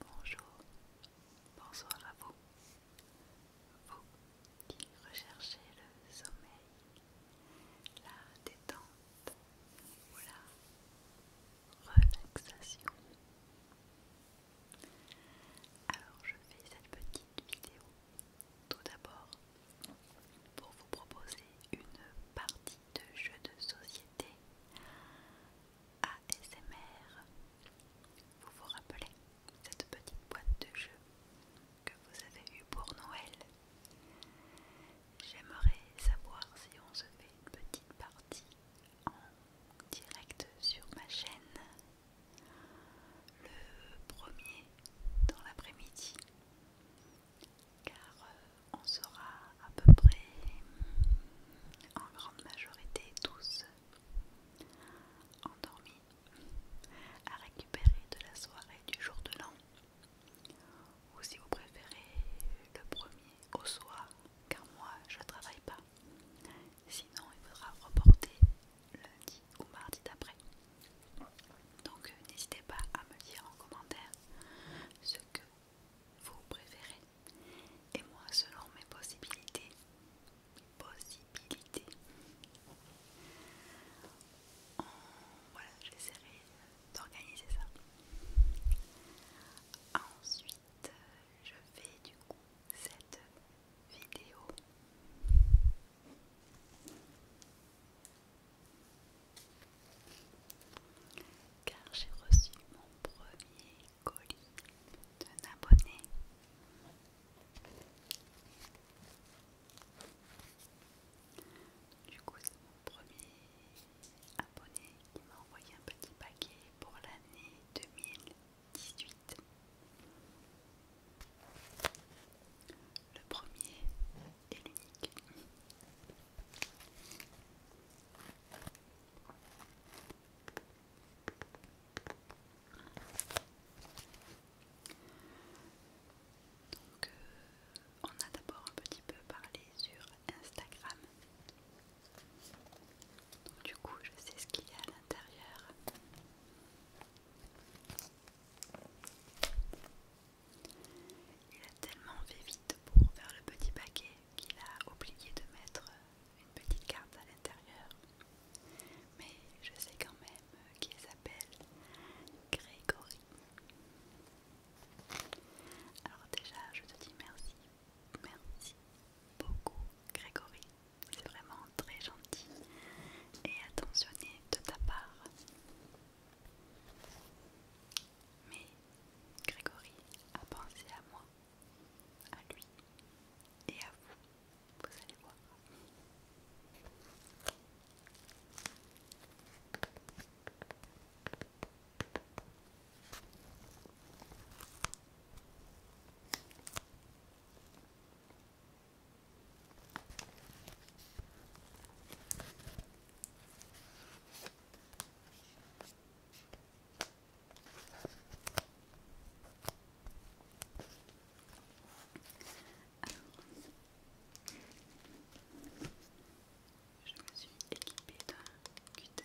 Bonjour, bonsoir à vous, vous qui recherchez le sommeil, la détente ou la relaxation. Alors je fais cette petite vidéo tout d'abord pour vous proposer une partie de jeux de société ASMR. Vous vous rappelez cette petite boîte de jeux que vous avez eue pour Noël J'aimerais savoir si on se fait une petite partie en direct sur ma chaîne le premier dans l'après-midi car euh, on sera à peu près mm, en grande majorité tous endormis à récupérer de la soirée du jour de l'an ou si vous préférez le premier au soir car moi je travaille pas sinon il faudra reporter lundi ou mardi d'après donc euh, n'hésitez pas à me dire en commentaire ce que vous préférez et moi selon mes possibilités possibilités voilà j'essaierai d'organiser ça ensuite je fais du coup cette vidéo car j'ai reçu mon premier colis d'un abonné. Du coup, c'est mon premier abonné qui m'a envoyé un petit paquet pour l'année 2018. Le premier et l'unique. Donc, euh, on a d'abord un petit peu parlé sur Instagram. du coup, je sais ce qu'il y a à l'intérieur. Il a tellement fait vite pour faire le petit paquet qu'il a oublié de mettre une petite carte à l'intérieur. Mais je sais quand même qu'il s'appelle Grégory. Alors déjà, je te dis merci. Merci beaucoup Grégory. C'est vraiment très gentil et attentionné de ta part. Mais Grégory a pensé à moi, à lui et à vous. Vous allez voir. Je me suis équipée d'un cutter.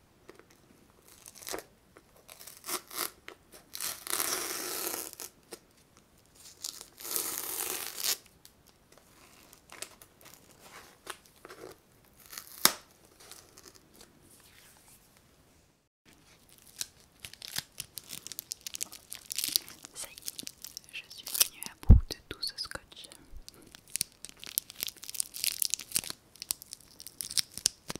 Ça y est, je suis venue à bout de tout ce scotch.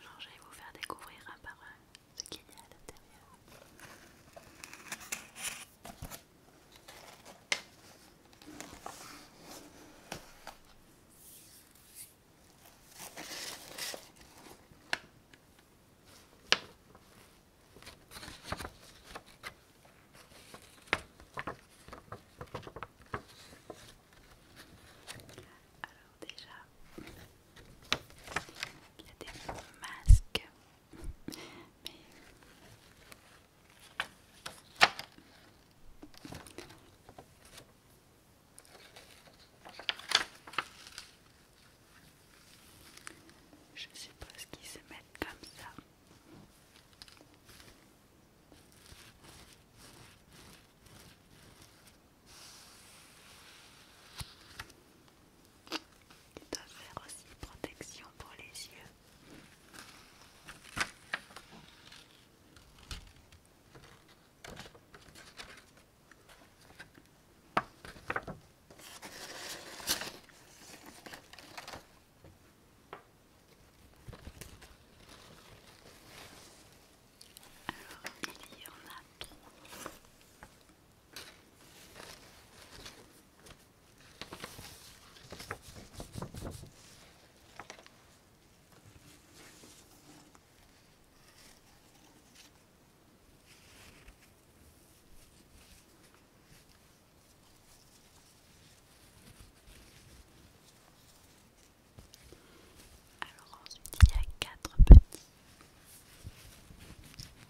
Alors je vais vous faire découvrir un par ce qu'il y a à l'intérieur. Alors déjà, il y a des masques, mais je sais pas ce qu'ils se mettent comme ça. Ils doivent faire aussi protection pour les yeux. Alors, il y en a trois. Alors ensuite il y a quatre petits,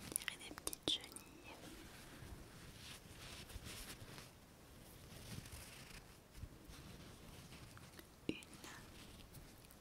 on dirait des petites chenilles. Une,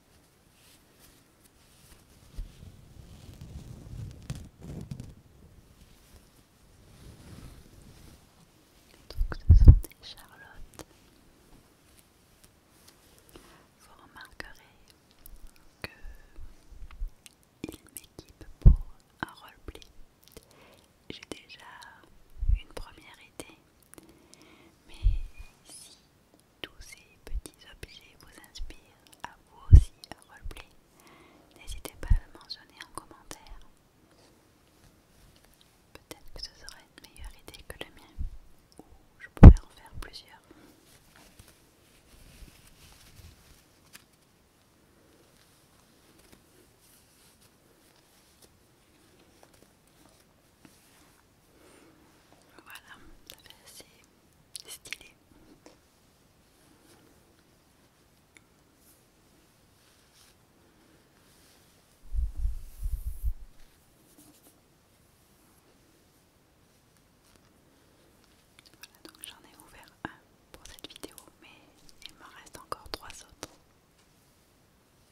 Donc ce sont des Vous remarquerez que il m'équipe pour un roleplay. J'ai déjà une première idée, mais si tous ces petits objets vous inspirent à vous aussi un roleplay. N'hésitez pas à le mentionner en commentaire. Peut-être que ce serait une meilleure idée que le mien. Ou je pourrais en faire plusieurs. Voilà, ça fait assez stylé. Voilà, donc j'en ai ouvert un pour cette vidéo, mais il me reste encore trois autres.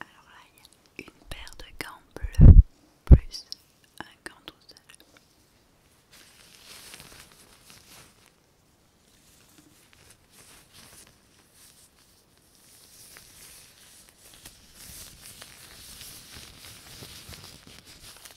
Alors là, il y a une paire de gants bleus plus un gant tout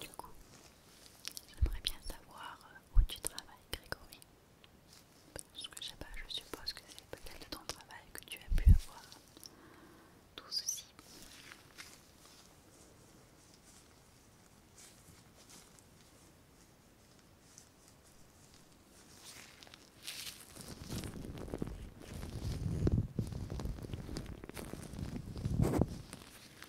Du coup, j'aimerais bien savoir euh, où tu travailles, Grégory. Parce que je sais pas, je suppose que c'est peut-être ton travail que tu as pu avoir tout ceci.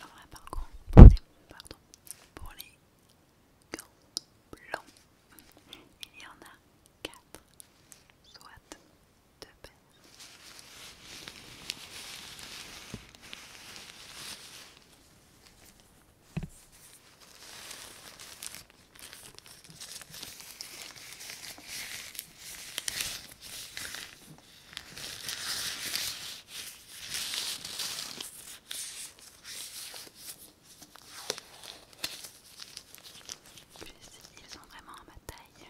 Ah, par contre, pardon, pour les gants blancs, il y en a 4, soit deux paires ils sont vraiment à ma taille.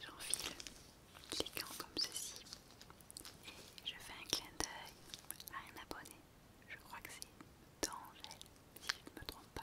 J'enfile cliquant comme ceci et je fais un clin d'œil à un abonné. Je crois que c'est l'aile, si je ne me trompe pas.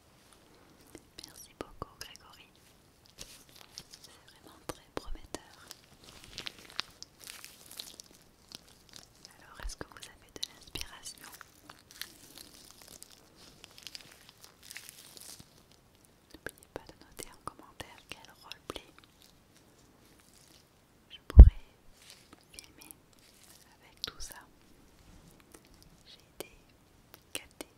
Merci beaucoup Grégory. C'est vraiment très prometteur. Alors, est-ce que vous avez de l'inspiration N'oubliez pas de noter en commentaire quel roleplay je pourrais filmer avec tout ça. J'ai été gâtée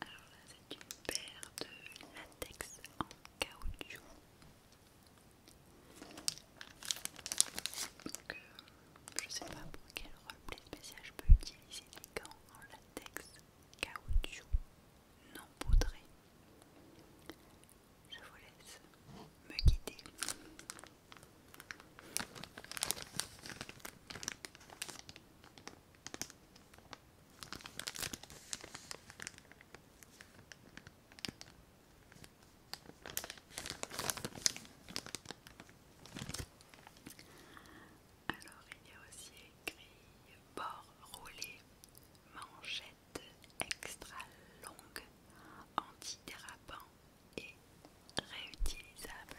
Alors là, c'est une paire de latex en caoutchouc. Donc, euh, je sais pas pour quel roleplay spécial je peux utiliser des gants en latex caoutchouc non poudré. Je vous laisse me guider. Alors il y a aussi écrit bord roulé, manchette extra longue, anti-dérapant et réutilisable.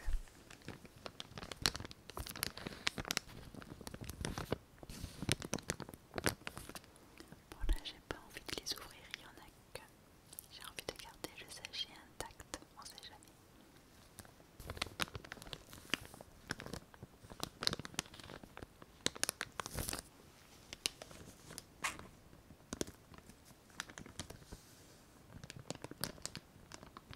Bon là j'ai pas envie de les ouvrir, il y en a que j'ai envie de garder le sachet intact, on sait jamais.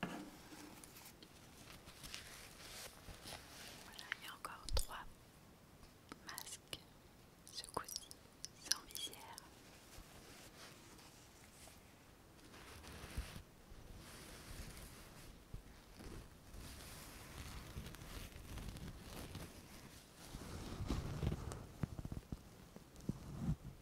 Voilà, il y a encore trois masques, ce coup-ci sans visière.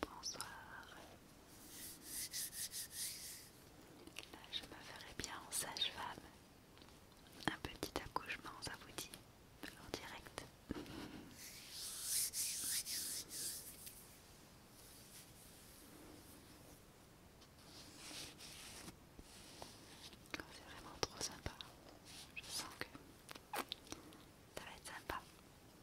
Bonsoir. Là, je me ferai bien en sage-femme. Un petit accouchement, ça vous dit En direct. Oh, c'est vraiment trop sympa. Je sens que ça va être sympa.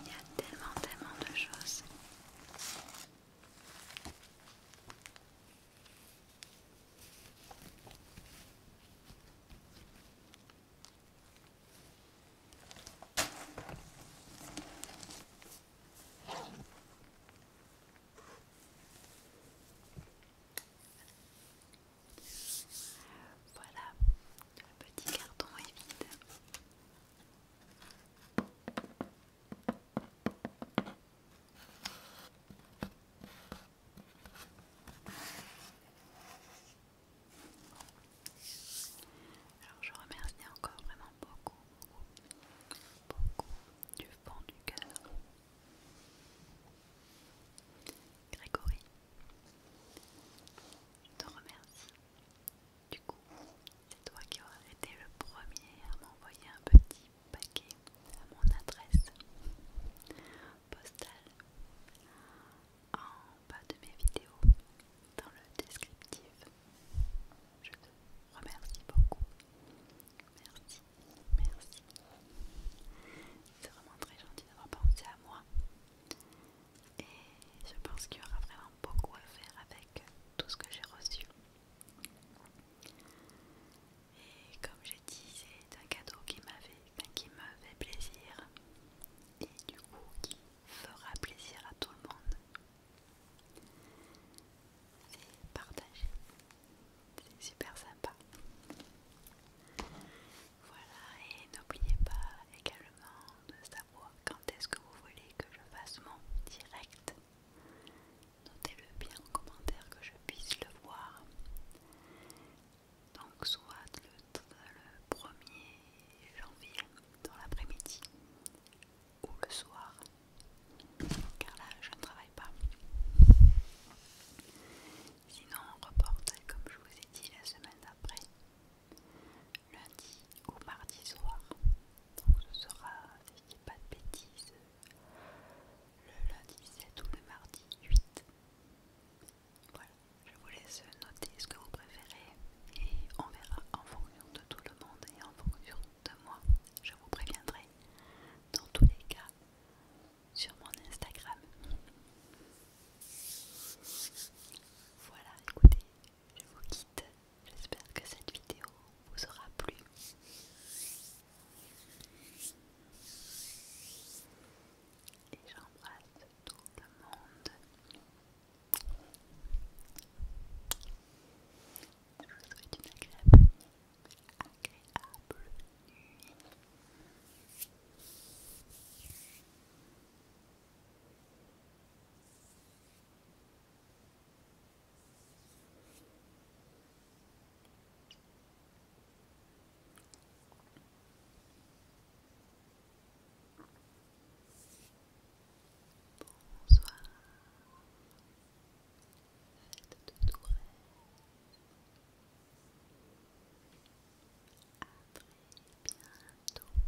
Il y a tellement, tellement de choses. Voilà, le petit carton est vide. Alors je remercie encore vraiment beaucoup, beaucoup, beaucoup du fond du cœur. Grégory, je te remercie. Du coup, c'est toi qui aurais été le premier à m'envoyer un petit paquet à mon adresse postale en bas de mes vidéos dans le descriptif. Je te remercie beaucoup. Merci, merci. C'est vraiment très gentil d'avoir pensé à moi. Et je pense qu'il y aura vraiment beaucoup à faire avec tout ce que j'ai reçu. Et comme j'ai dit, c'est un cadeau qui m'avait, qui me fait plaisir et du coup qui fera plaisir à tout le monde. C'est partagé, c'est super sympa. Voilà, et n'oubliez pas également de savoir quand est-ce que vous voulez que je fasse mon direct Notez-le bien en commentaire que je puisse le voir. Donc soit le, 1er janvier dans l'après-midi ou le soir, car là je ne travaille pas. Sinon on reporte, comme je vous ai dit, la semaine d'après, lundi ou mardi soir. Donc ce sera, si pas de bêtises, le lundi 7 ou le mardi 8. Voilà, je vous laisse noter ce que vous préférez et on verra en fonction de tout le monde et en fonction de moi. Je vous préviendrai dans tous les cas sur mon Instagram. Voilà, écoutez, je vous quitte. J'espère que cette vidéo vous aura plu. Et j'embrasse tout le monde. Je vous souhaite une agréable nuit. Agréable nuit. Bonsoir. Fête de Tourelle. À bientôt.